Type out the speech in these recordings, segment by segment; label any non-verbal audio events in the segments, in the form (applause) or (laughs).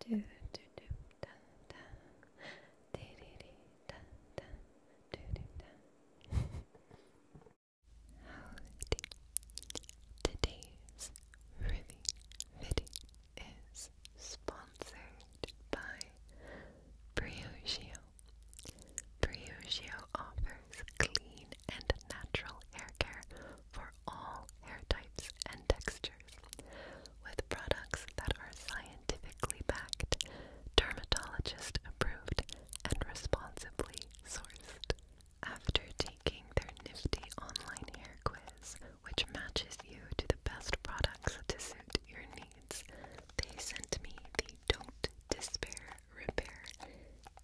do do do da da di di di da da do do da Howdy Today's Ruby Fitting is sponsored by Briogeo. Briogeo offers clean and natural hair care for all hair types and textures with products that are scientifically backed, dermatologist approved, and responsibly sourced. After taking their nifty online hair quiz, which matches you to the best products to suit your needs, they sent me the Don't Despair Repair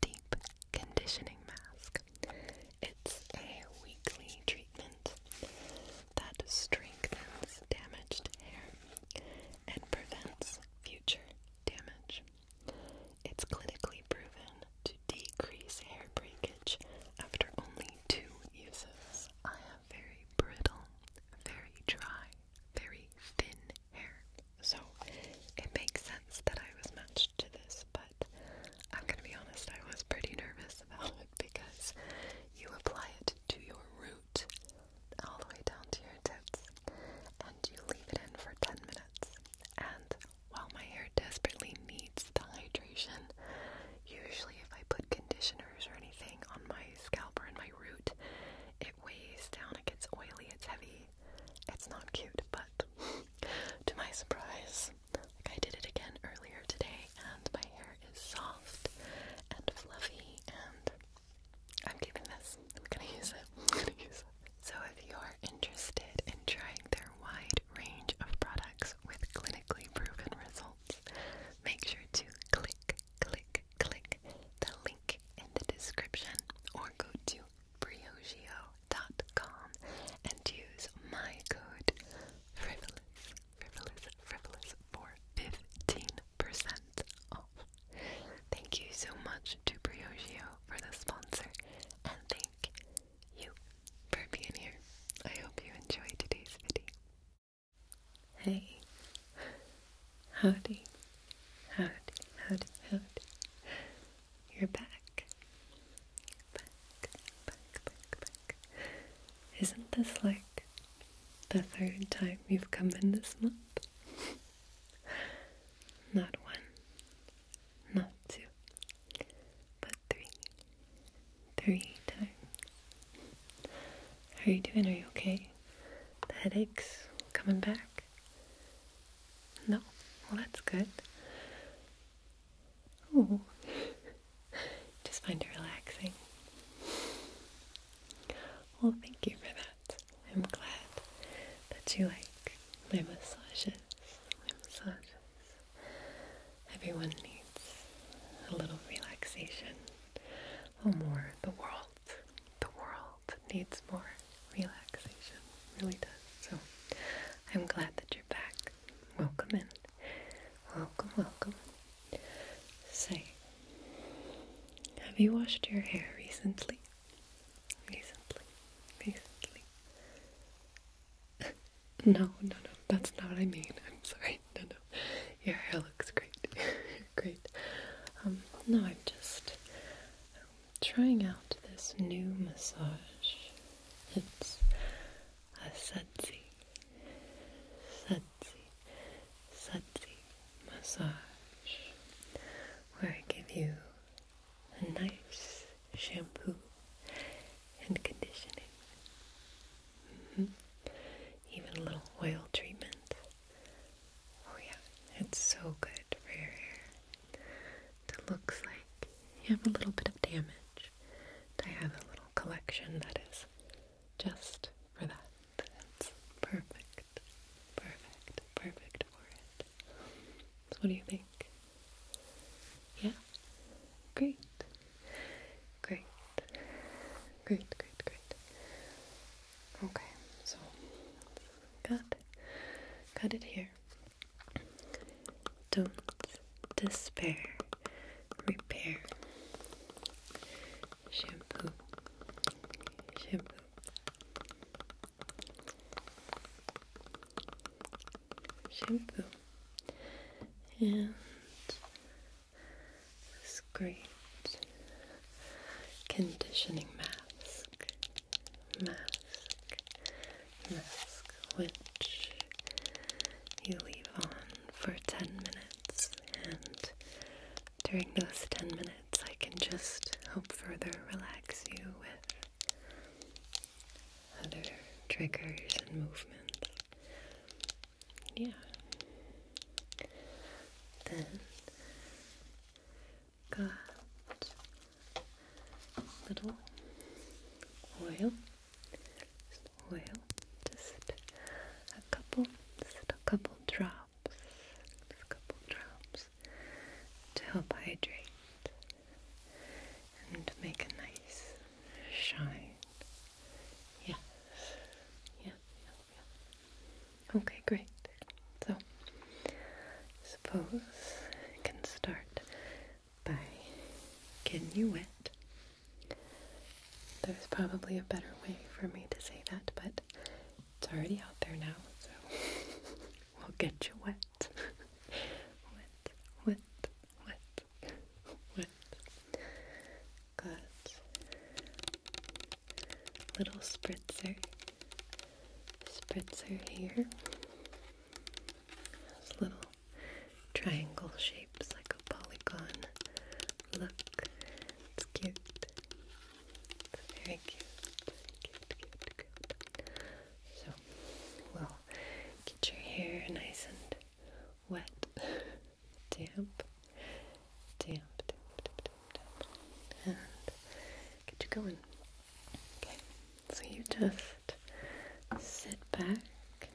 Deep Conditioning Mask. It's a weekly treatment that strengthens damaged hair and prevents future damage. It's clinically proven to decrease hair breakage after only two uses. I have very brittle, very dry, very thin hair, so it makes sense that I was matched to this but I'm gonna be honest, I was pretty nervous about it because you apply it to your root all the way down to your tips and you leave it in for 10 minutes. And while my hair desperately needs the hydration, usually if I put conditioners or anything on my scalp or in my root, it weighs down, it gets oily, it's heavy. It's not cute, but (laughs) to my surprise, I did it again earlier today and my hair is soft and fluffy and I'm keeping this. I'm gonna use it. I'm gonna use it. So if you're interested in trying their wide range of products with clinically proven results, make sure to click, click, click the link in the description or go to Briogeo gmail.com and use my code frivolous, frivolous, frivolous for 15% off. Thank you so much to Briogeo for the sponsor and thank you for being here. I hope you enjoyed today's video. Hey, howdy, howdy, howdy, howdy. You're back back, back, back, back. Isn't this like the third time you've come in this month? not one, not two, but three. Three times. How are you doing? Are you okay? The headaches coming back? No? Well, that's good. Oh, (laughs) just find it relaxing. Well, thank you for that. I'm glad that you like my massages. Everyone needs a little relaxation. Or more. The world, the world needs more relaxation. really does. So I'm glad that you're back. Welcome in. Welcome, welcome. Say, have you washed your hair recently? Recently, recently. (laughs) no, no, no, that's not what I mean. I'm sorry. No, no. Your hair looks great. (laughs) great. Um, no, I'm just um, trying out this new massage. It's a sudsy, sudsy, sudsy massage where I give you a nice shampoo and conditioning. Mm-hmm. Even a little oil treatment. Oh, yeah, it's so good for your hair. It looks like you have a little bit of damage. I have a little collection that is just for that. It's perfect, perfect, perfect for it. what do you think? Yeah? Great. Great. Great, great, great. Okay, so cut. Cut it here. Don't despair. Repair. Shampoo. Shampoo. Shampoo. And this great conditioning mask. Mask mask, which you leave on for 10 minutes, and during those 10 minutes, I can just help further relax you with other triggers and movements. Yeah. Then got little oil oil, just a couple, just a couple drops, a couple drops to help hydrate and make a nice shine. Yes, yeah, Okay, great. So, suppose I can start by getting you wet. There's probably a better way for me to say that, but it's already out there now, so (laughs) we'll get you wet. (laughs) wet, wet, wet, wet. Got little spritzer, spritzer here. little triangle shapes like a polygon look. It's cute. It's very cute. Cute, cute, cute. get your hair nice and wet, (laughs) damp, damp, damp, damp, damp, damp, and get you going. Okay. So you just sit back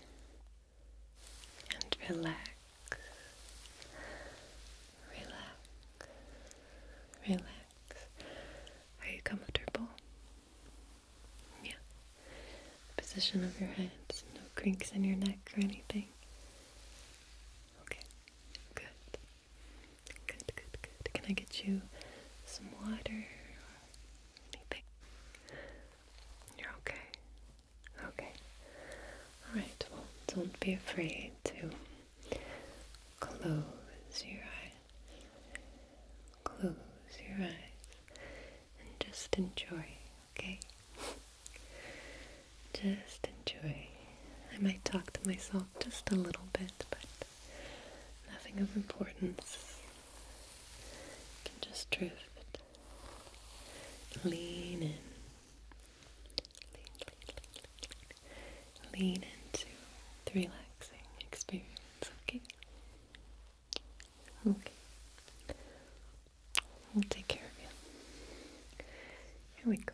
and relax. Relax. Relax. Are you comfortable? Yeah. position of your hands. no cranks in your neck or anything. Okay. Good. Good, good, good. Can I get you some water or anything? You're okay. Okay. Alright, well, don't be afraid to close your eyes. Close your eyes and just enjoy, okay? Just enjoy. I might talk to myself just a little bit, but nothing of importance just drift. Lean in. Lean, lean, lean into the relaxing experience, okay? Okay. We'll take care of you. Here we go.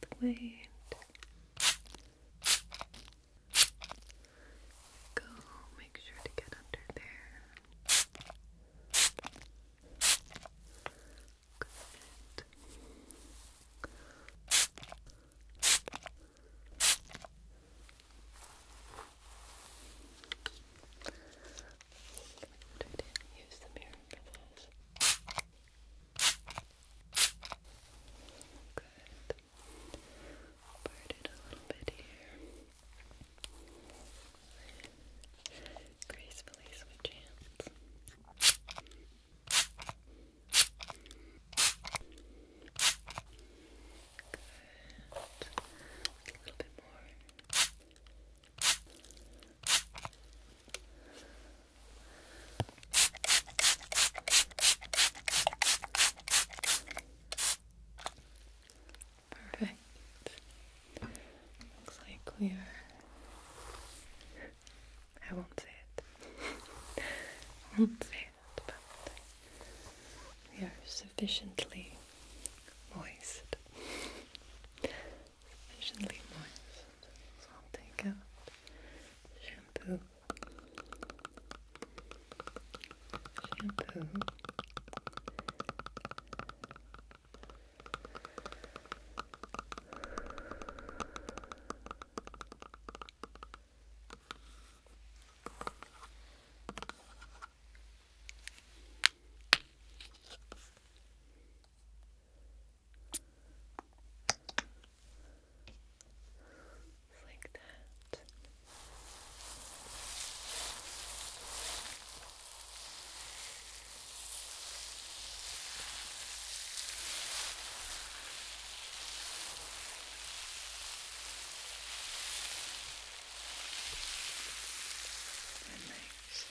the weight. Go, make sure to get under there. Good. I not use the mirror for Good. Part a little bit here. Gracefully switch hands. Good. A little bit more. Perfect. Looks like we are. I won't say it. (laughs) won't say it, but we are sufficiently moist. (laughs) Sufficiently moist so i shampoo, Shampoo, just like that. Nice. It smells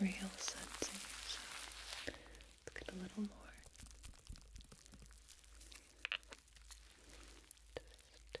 real sense. Let's a little more. Just two.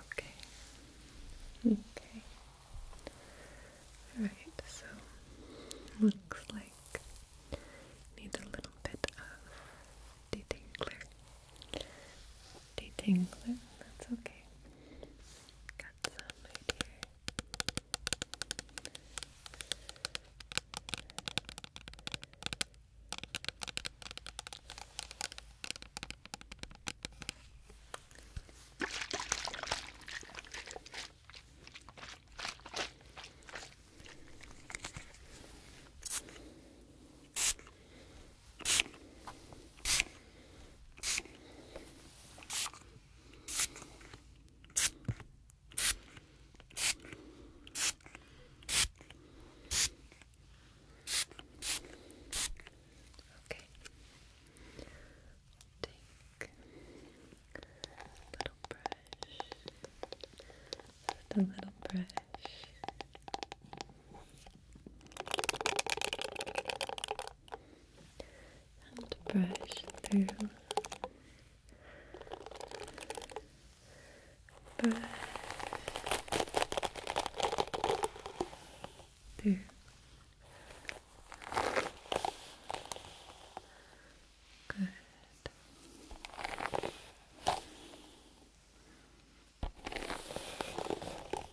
Okay. Okay. All right. So looks like need a little bit of detangler. Detangler. That's okay that sun right here. All Okay. Take a little brush and a little brush and brush through, brush through. Good.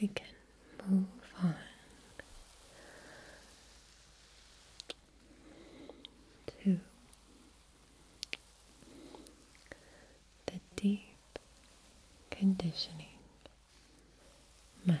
we can move on to the deep conditioning mask.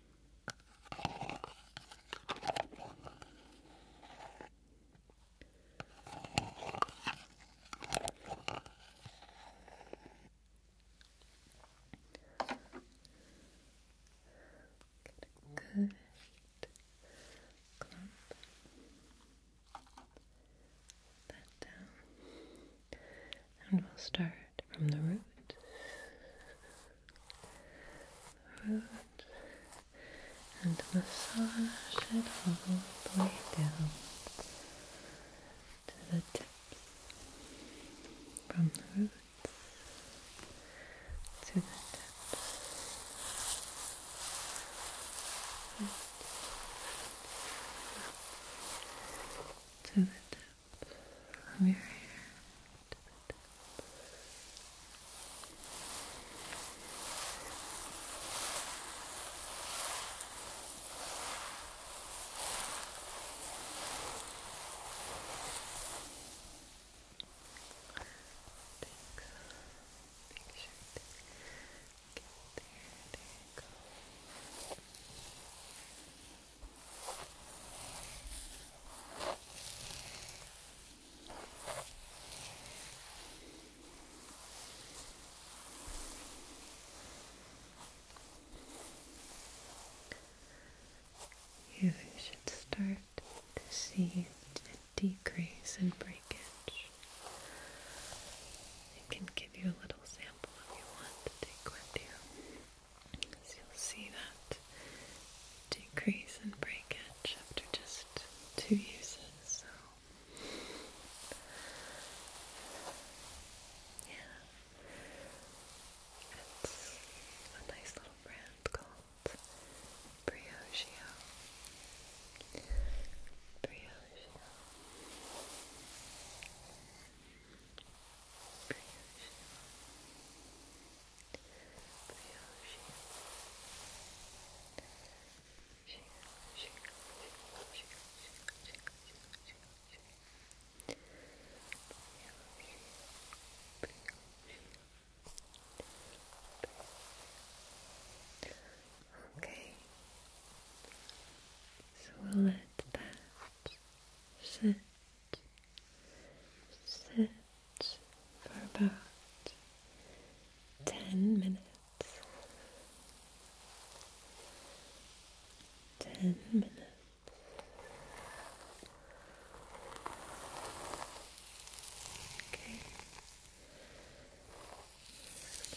Get a good clump. That down, and we'll start from the roots. Roots. And massage it all the way down to the tips. From the roots to the tips. To the tips from your hair to the top. Make sure to get there, there you go. Good. You should start to see a decrease in breakage. I can give you a little sample if you want to take with you. So you'll see that decrease and breakage after just two uses. So yeah, it's a nice little brand called Briogeo. Briogeo. Okay, so we'll let that sit sit for about ten minutes. Ten minutes. Okay.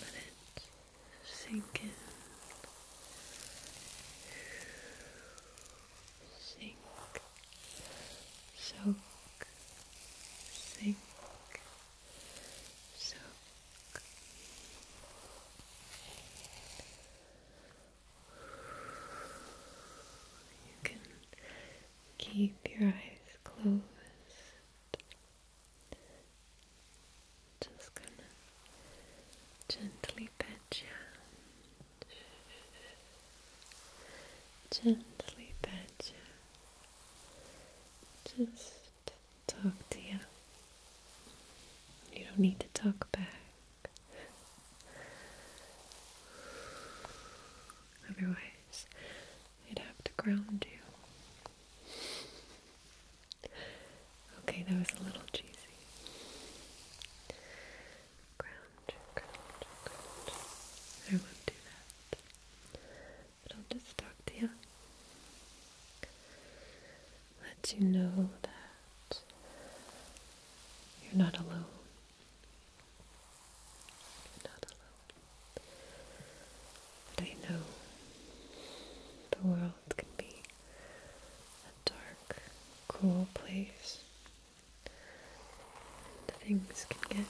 Let it sink in sink, soak, sink, soak. You can keep your eyes closed. Just gonna gently pat you gently pat you. Just talk to you. You don't need to talk back. Otherwise, I'd have to ground you. Okay, that was a little cheesy ground, ground, ground. I won't do that. But I'll just talk to you. Let you know that you're not alone. You're not alone. But I know the world can be a dark, cruel place things can get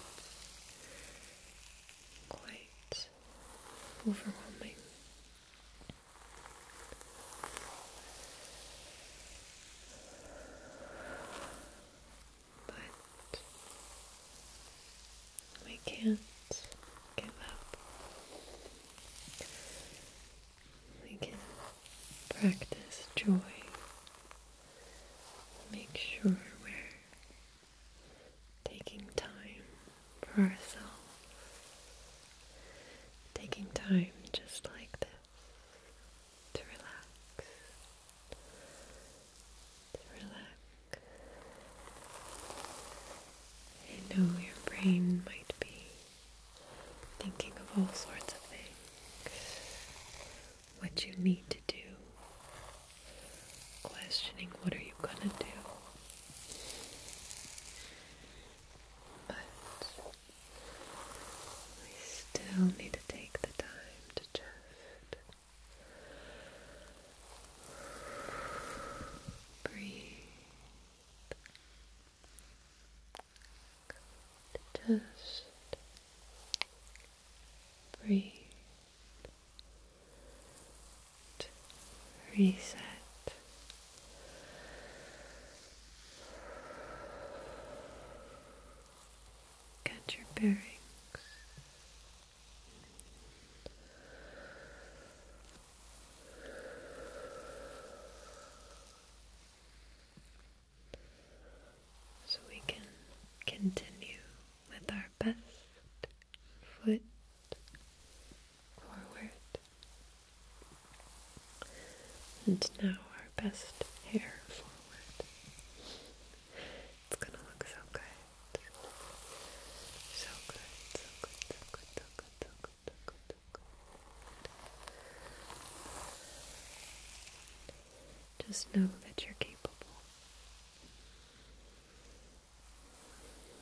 quite overwhelming. But we can't give up we can practice joy. Make sure we're taking time for ourselves. Taking time just like this to relax. To relax. I know your brain might be thinking of all sorts of things, what you need to do, questioning what are you gonna do. But we still need to take the time to just breathe. Good. Just breathe reset. Get your bearings so we can continue with our best foot forward. And now our best hair forward. It's gonna look so good. So good, so good, so good, so good, so just know that you're capable.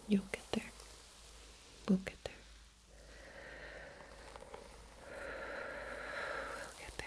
You'll get there. We'll get there. We'll get there.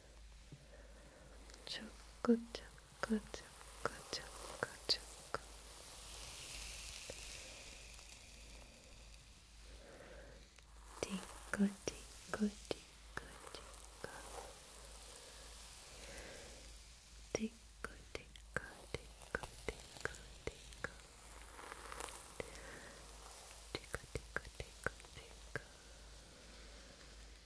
조금 조금 조금 조금 조금 띵고 띵고 띵고 띵고 띵고 띵고 띵고 띵고 띵고 띵고 띵고 띵고 띵고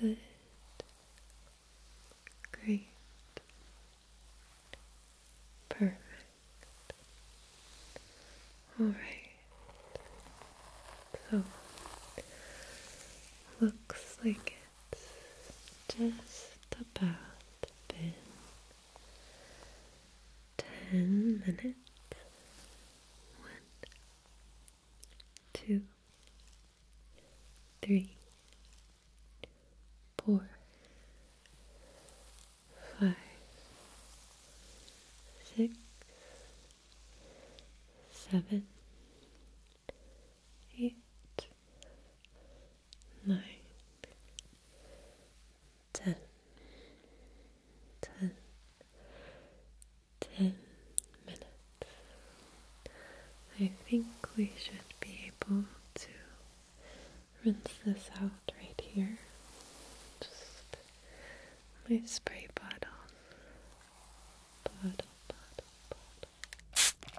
Good. Great. Perfect. All right. So looks like it's just about been ten minutes, one, two, three, four, five, six, seven, eight, nine, ten ten, ten minutes. I think we should be able to rinse this out right here. Just my spray bottle. Bottle, bottle, bottle.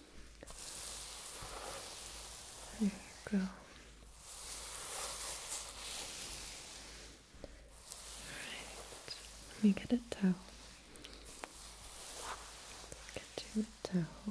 There you go. Alright, let me get a towel. Get you a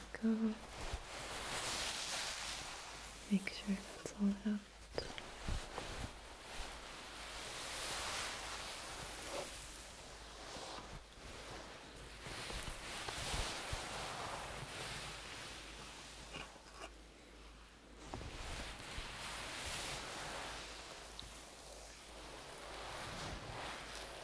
go. Make sure that's all out.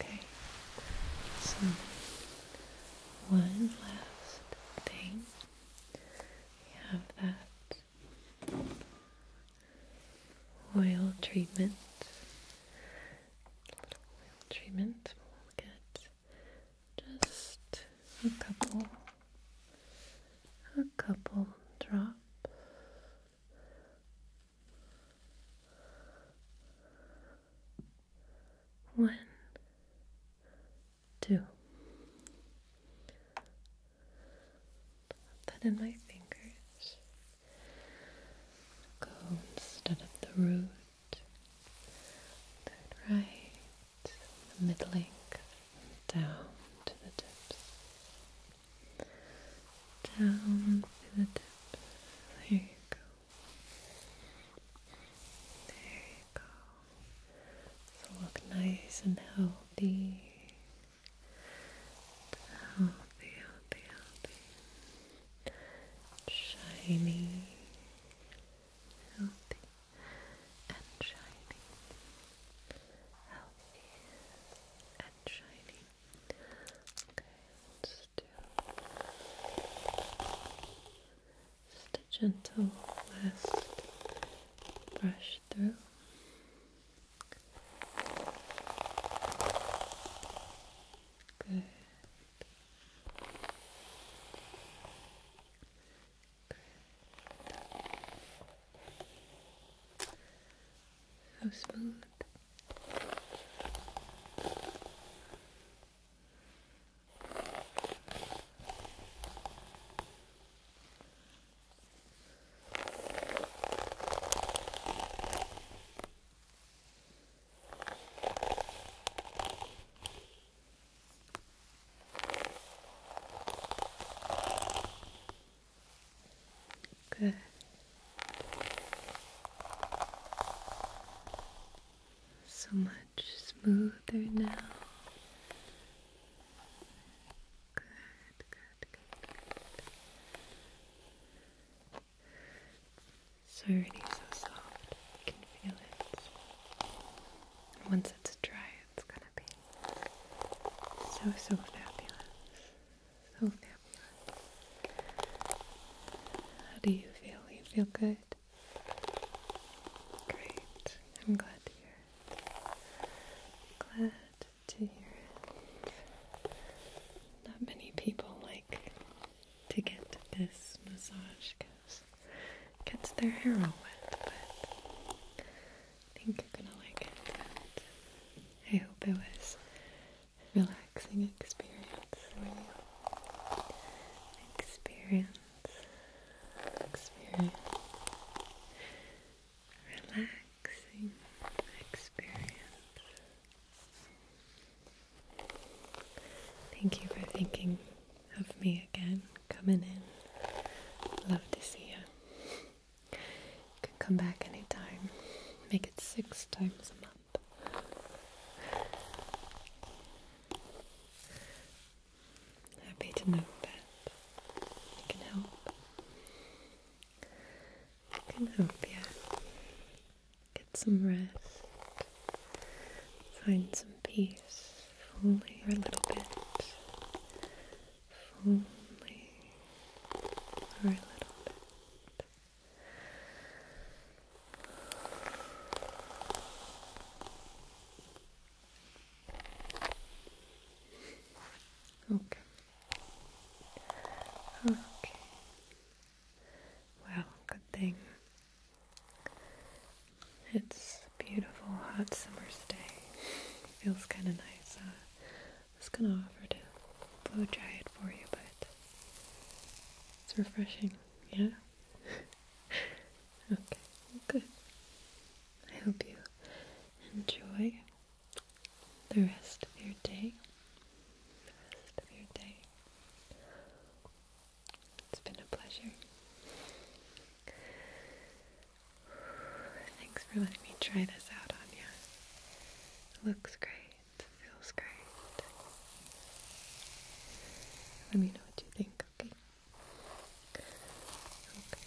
Okay, so one last thing. We have that oil treatment. A little oil treatment. We'll get just a couple, a couple drops. One, two. Put that in my fingers. Go instead of the root. Third right, the mid down to the tips down to the tip. There you go. There you go. So look nice and healthy. Healthy, healthy, healthy. Shiny. Healthy and shiny. Healthy and and Okay, let's do just a gentle last brush through. Good. Good. So smooth. Good. So much smoother now. Good, good, good, good. It's already so soft. You can feel it. Once it's dry, it's gonna be so, so fabulous. So fabulous. How do you feel? You feel good? Great. I'm glad to hear it. Glad to hear it. Not many people like to get this massage because gets their hair all wet, but I think you're gonna like it. I hope it was a relaxing experience for you. Experience, experience, relaxing experience. Thank you for thinking of me again, coming in. Love to see you. You can come back anytime. Make it six times a month. Happy to know that you can help. I can help Yeah. get some rest, find some peace, only for a little bit. If only a little bit. Okay. Okay. Well, good thing. It's beautiful hot summer's day. Feels kind of nice was gonna offer to blow dry it for you, but it's refreshing, yeah? (laughs) okay, well, good. I hope you enjoy the rest of your day. The rest of your day. It's been a pleasure. Thanks for letting me try this out on you. Looks great. Feels great. Let me know what you think, okay? Okay.